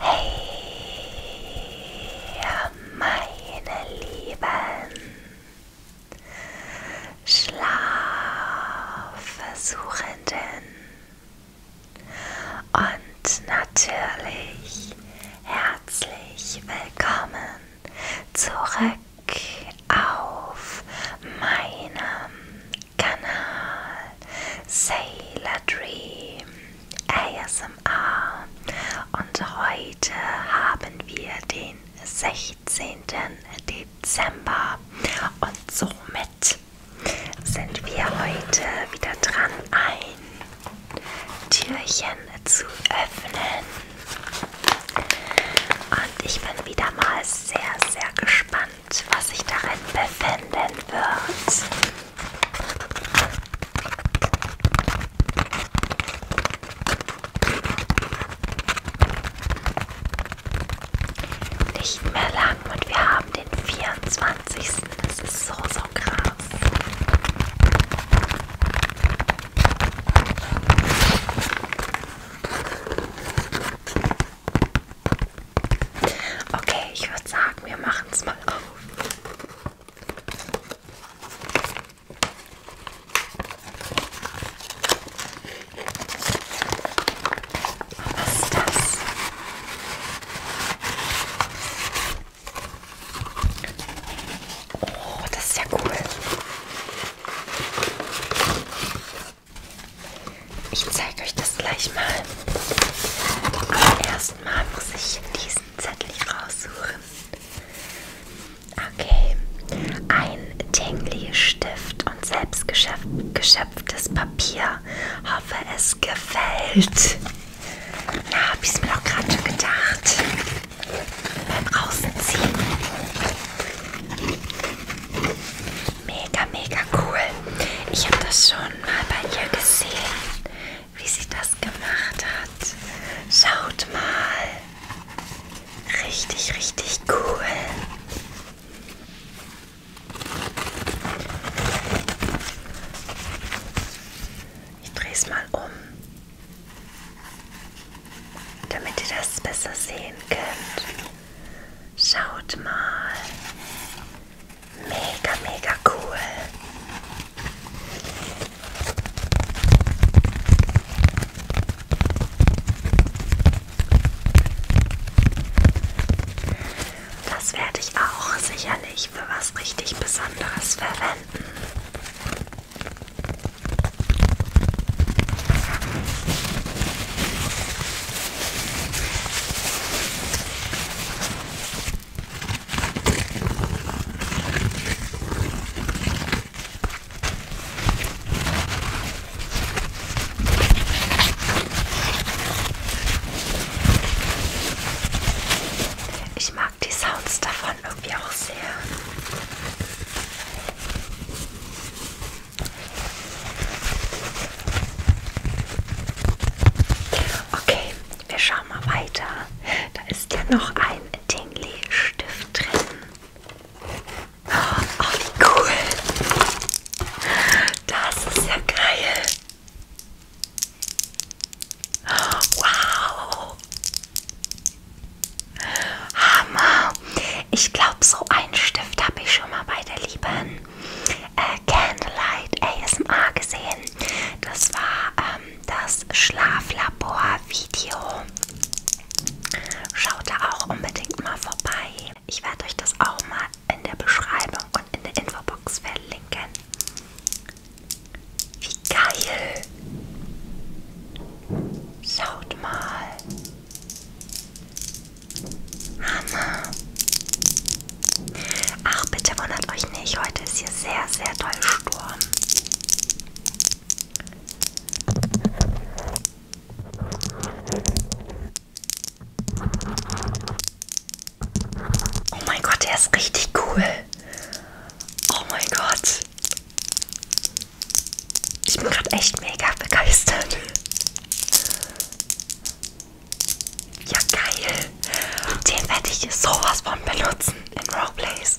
Hey, meine Lieben, Schlafversuchenden und natürlich herzlich willkommen zurück auf meinem Kanal Sailor Dream ASMR. Und heute haben wir den 16. Dezember und somit Bett sind wir heute wieder dran, ein Türchen zu öffnen. Und ich bin wieder mal sehr, sehr gespannt, was sich darin befinden wird. Nicht mehr lang und wir haben den 24. Das ist so, so krass. Okay, ich würde sagen, wir machen es mal auf. Was ist das? Oh, das ist ja cool. Ich zeige euch das gleich mal. Aber erstmal muss ich diesen Zettel hier raussuchen. Okay, ein Tengli-Stift und selbst geschöpftes Papier. Hoffe, es gefällt. Na, hab ich's mir doch gerade schon gedacht. Beim Außenziehen. Mega, mega cool. Ich habe das schon mal bei ihr gesehen, wie sie das gemacht hat. Schaut mal. Richtig, richtig cool. Ich drehe es mal um, damit ihr das besser sehen könnt. Schaut mal. Mega, mega cool. Das werde ich auch sicherlich für was richtig Besonderes verwenden. Ich mag die Sounds davon irgendwie auch sehr. Okay, wir schauen mal weiter. Da ist ja noch ein Tingley-Stift drin. Oh, wie cool. Das ist ja geil. Wow. Hammer. Ich glaube, so einen Stift habe ich schon mal bei der lieben äh, Candlelight ASMR gesehen. Das war ähm, das Schlaflabor-Video. Schaut da auch unbedingt mal vorbei. Ich werde euch das auch mal in der Beschreibung und in der Infobox verlinken. Wie geil! Schaut mal. Hammer. Ach, bitte wundert euch nicht, heute ist hier sehr, sehr doll Sturm. Oh mein Gott, der ist richtig cool. Oh mein Gott. Ich bin gerade echt mega begeistert. Ja, geil. Den werde ich sowas von benutzen in Roleplays.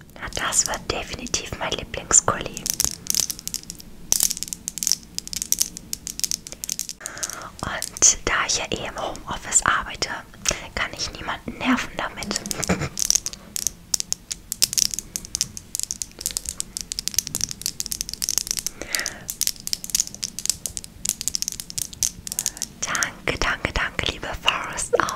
Na, das wird definitiv mein Lieblingskulli. Und da ich ja eh im Homeoffice arbeite, kann ich niemanden nerven damit. danke, danke, danke, liebe Forest. Oh,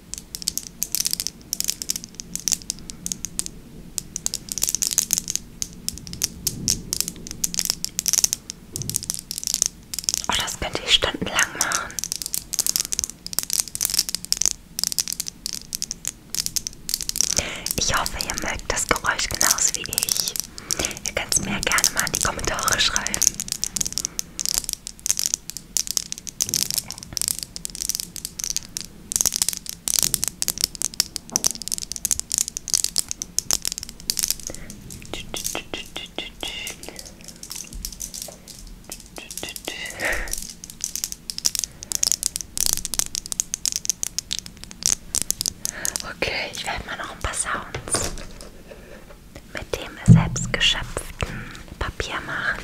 Oh, das könnte ich stundenlang machen. Ich hoffe, ihr mögt das Geräusch genauso wie ich. Ihr könnt es mir ja gerne mal in die Kommentare schreiben. Okay, ich werde mal noch ein paar Sounds mit dem selbstgeschöpften Papier machen.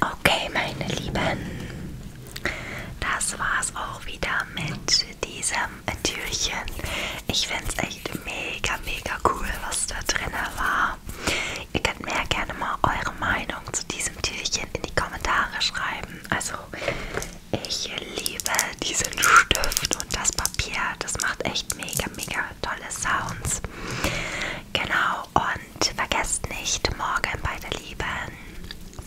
Okay, meine Lieben, das war's auch wieder mit diesem Türchen. Ich finde es echt mega, mega cool, was da drin war. Ihr könnt mir ja gerne mal eure Meinung zu diesem Türchen in die Kommentare schreiben. Also, ich liebe diesen Stift und das Papier. Das macht echt mega, mega tolle Sounds. Genau, und vergesst nicht, morgen bei der lieben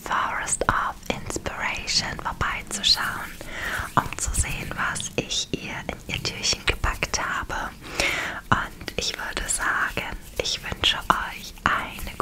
Forest of Inspiration vorbeizuschauen, um zu sehen, was ich ihr in ihr Türchen gepackt habe. Und ich würde sagen, ich wünsche euch eine